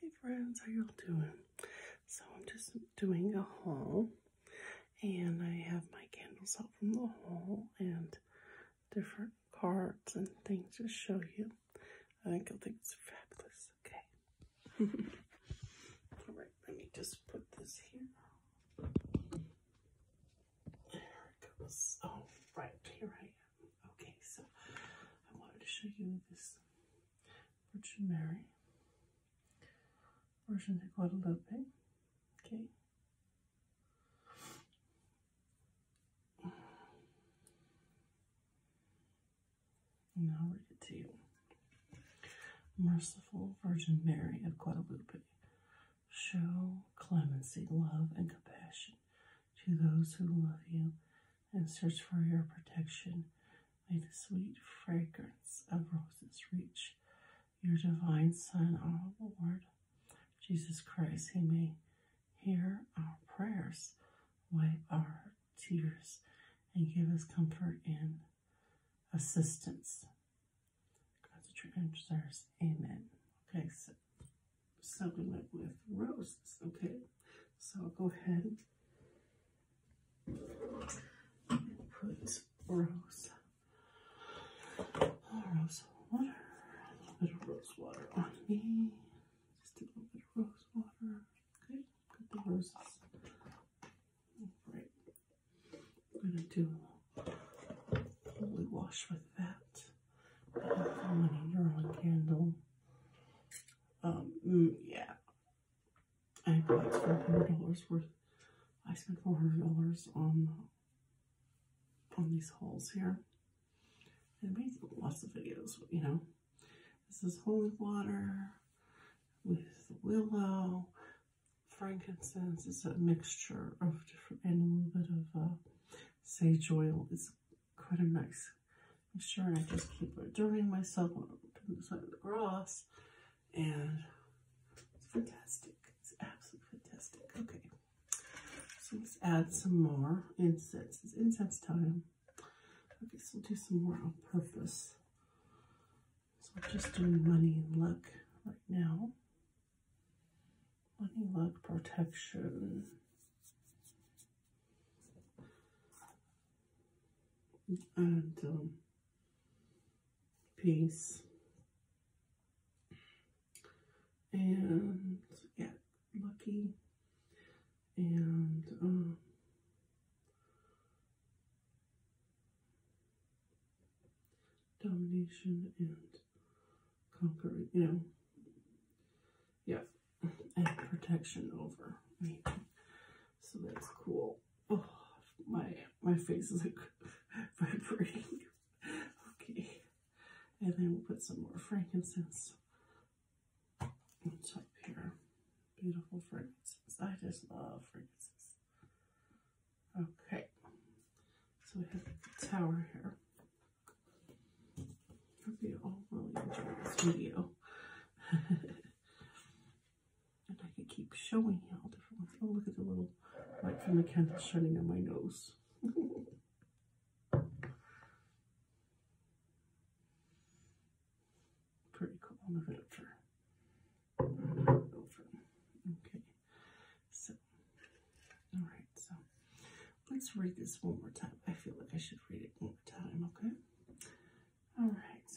Hey friends, how y'all doing? So I'm just doing a haul and I have my candles out from the haul and different cards and things to show you. I think I think it's fabulous, okay? Alright, let me just put this here. There it goes. Oh, here I am. Okay, so I wanted to show you this Virgin Mary, Virgin de Guadalupe, okay. And I'll read it to you. Merciful Virgin Mary of Guadalupe, show clemency, love, and compassion to those who love you and search for your protection. May the sweet fragrance of roses reach your divine Son, our Lord Jesus Christ. He may hear our prayers, wipe our tears, and give us comfort and assistance. Concentrate on desires. Amen. Okay, so, so we went with roses, okay? So I'll go ahead and put rose, rose water, a little bit of rose water on me. Just a little bit of rose water. Okay, got the roses. Right. I'm gonna do holy wash with that. I'm going to candle. Um, mm, yeah. I bought four hundred dollars worth. I spent four hundred dollars on on these holes here. I made lots of videos, you know. This is holy water with willow, frankincense. It's a mixture of different and a little bit of uh, sage oil. It's quite a nice mixture. I just keep adorning myself when I put this the grass. And it's fantastic. It's absolutely fantastic. Okay. So let's add some more incense. It's incense time. Okay, so we'll do some more on purpose. So we're just doing money and luck right now. Money luck protection and um, peace. And yeah, lucky. And um, domination and conquering, you know. Yeah, And protection over me. So that's cool. Oh, my my face is like vibrating. okay. And then we'll put some more frankincense on top here. Beautiful frankincense. I just love frankincense. Okay. So we have the tower here. Hope you all really enjoyed this video and I can keep showing you all different ones. Oh, look at the little light the candle shining on my nose. Pretty cool literature. Okay, so, all right, so let's read this one more time. I feel like I should read it one more time, okay? All right.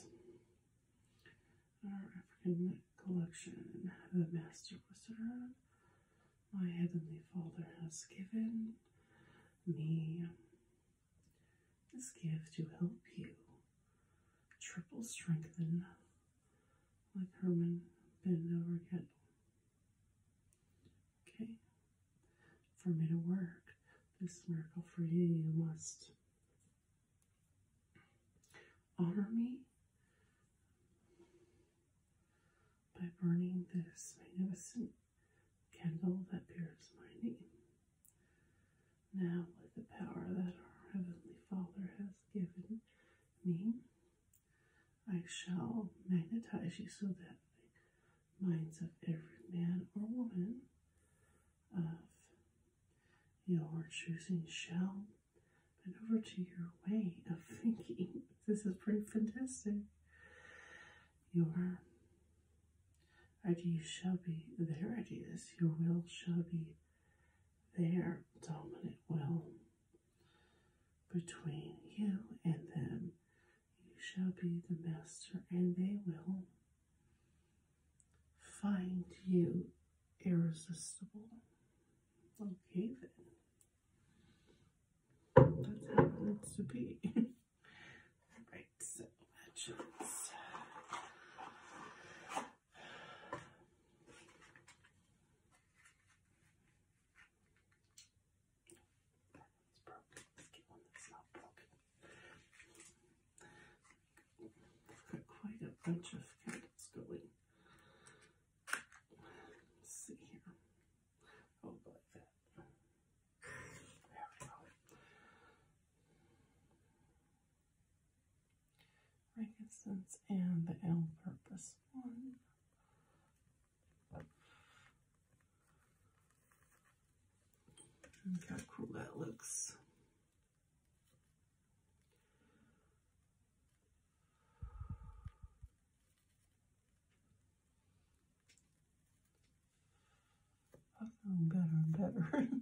Our African collection, the Master will serve. My Heavenly Father has given me this gift to help you triple strengthen like Herman Ben Over Okay, for me to work this miracle for you, you must honor me by burning this magnificent candle that bears my name. Now, with the power that our Heavenly Father has given me, I shall magnetize you so that minds of every man or woman of your choosing shall bend over to your way of thinking. This is pretty fantastic. Your ideas shall be their ideas. Your will shall be their dominant will between you and them you shall be the master, and they will find you irresistible. Okay, That's how it needs to be. right, so legends that's broken. Let's get one that's not broken. We've got quite a bunch of candles going. see here. Oh, like that. There we go. Frankincense and the L purpose one. Look how cool that looks. I'm feeling better and better.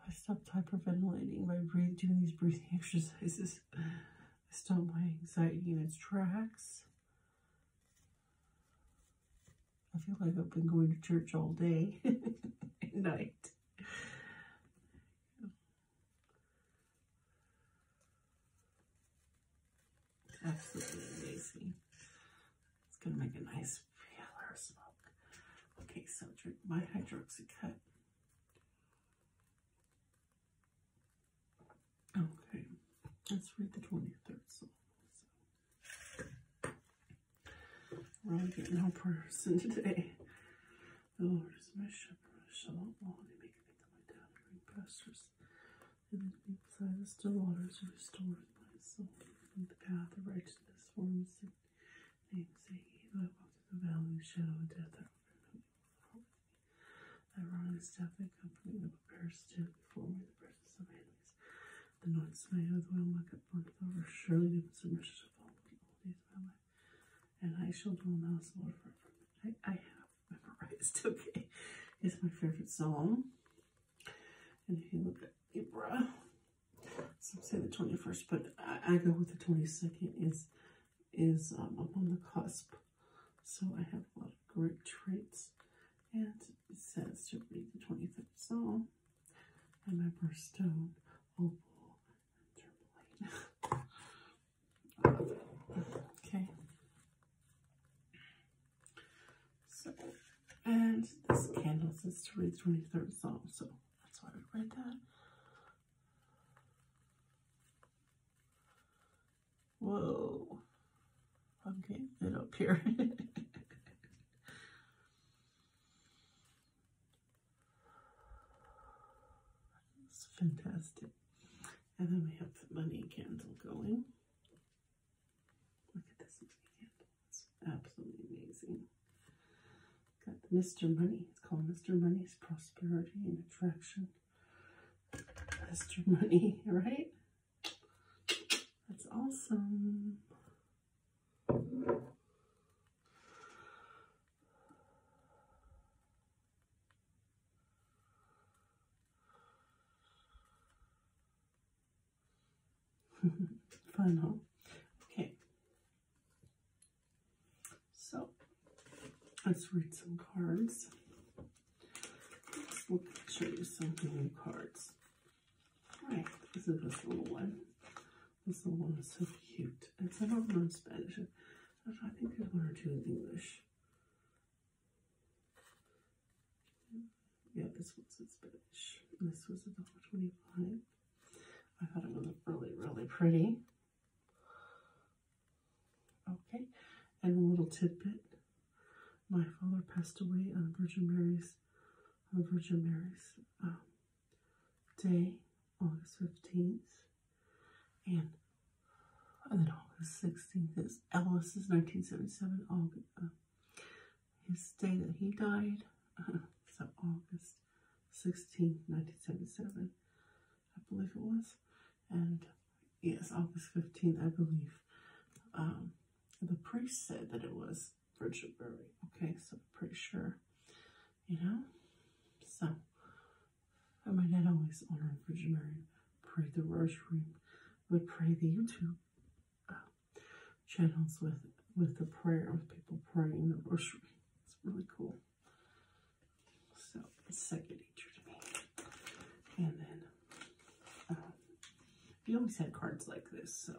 I stopped hyperventilating by breathing, doing these breathing exercises. I stopped my anxiety in its tracks. I feel like I've been going to church all day and night. Absolutely amazing. It's going to make a nice pillar smoke. Okay, so drink my hydroxycut. Okay, let's read the 23rd Psalm. So. We're all getting our person today. The Lord is my shepherd, I shall not want. He maketh me to lie down in green pastures. and leads me beside the still waters. He restores my soul. In the path of righteousness for his name's sake. Though I the valley of the shadow of death, I I'm wrong and stuff that company that prepares to before me the presence of enemies. The noise smell of the oil my cup burneth over, surely the so much to fall. old days of my life. And I shall dwell now as Lord forever. I, I have memorized, okay. It's my favorite song. And if you look at Ibra, some say the 21st, but I, go with the 22nd is is I'm um, on the cusp. So I have a lot of great traits and it says to read the 25th Psalm and my birthstone, opal, oh and tourmaline. okay. So, and this candle says to read the 23rd Psalm, so that's why I read that. Whoa. I'm getting it up here. it's fantastic. And then we have the money candle going. Look at this money candle. It's absolutely amazing. Got Mr. Money. It's called Mr. Money's Prosperity and Attraction. Mr. Money, right? That's awesome. Fun, huh? Okay. So, let's read some cards. We'll show you some new cards. Alright, this is this little one. This little one is so cute. It's some of them are in Spanish. I think there's one or two in English. Yeah, this one's in Spanish. This was twenty-five. I thought it was really, really pretty. Okay, and a little tidbit my father passed away on Virgin Mary's on Virgin Mary's um, day, August fifteenth, and, then August sixteenth is Elvis's nineteen seventy seven August uh, his day that he died. Uh, so August sixteenth, nineteen seventy seven, I believe it was, and Yes, August 15th, I believe. Um, the priest said that it was Virgin Mary. Okay, so pretty sure, you know? So, I might not always honor Virgin Mary, pray the rosary, but pray the YouTube uh, channels with with the prayer of people praying the rosary. It's really cool. So second nature to me. And then um, he always had cards like this, so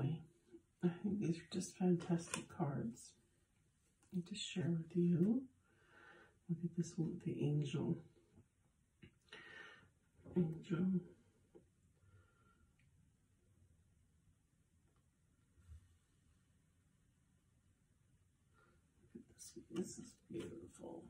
anyway, I think these are just fantastic cards. I need to share with you. Look at this one with the angel. Angel. This, this is beautiful.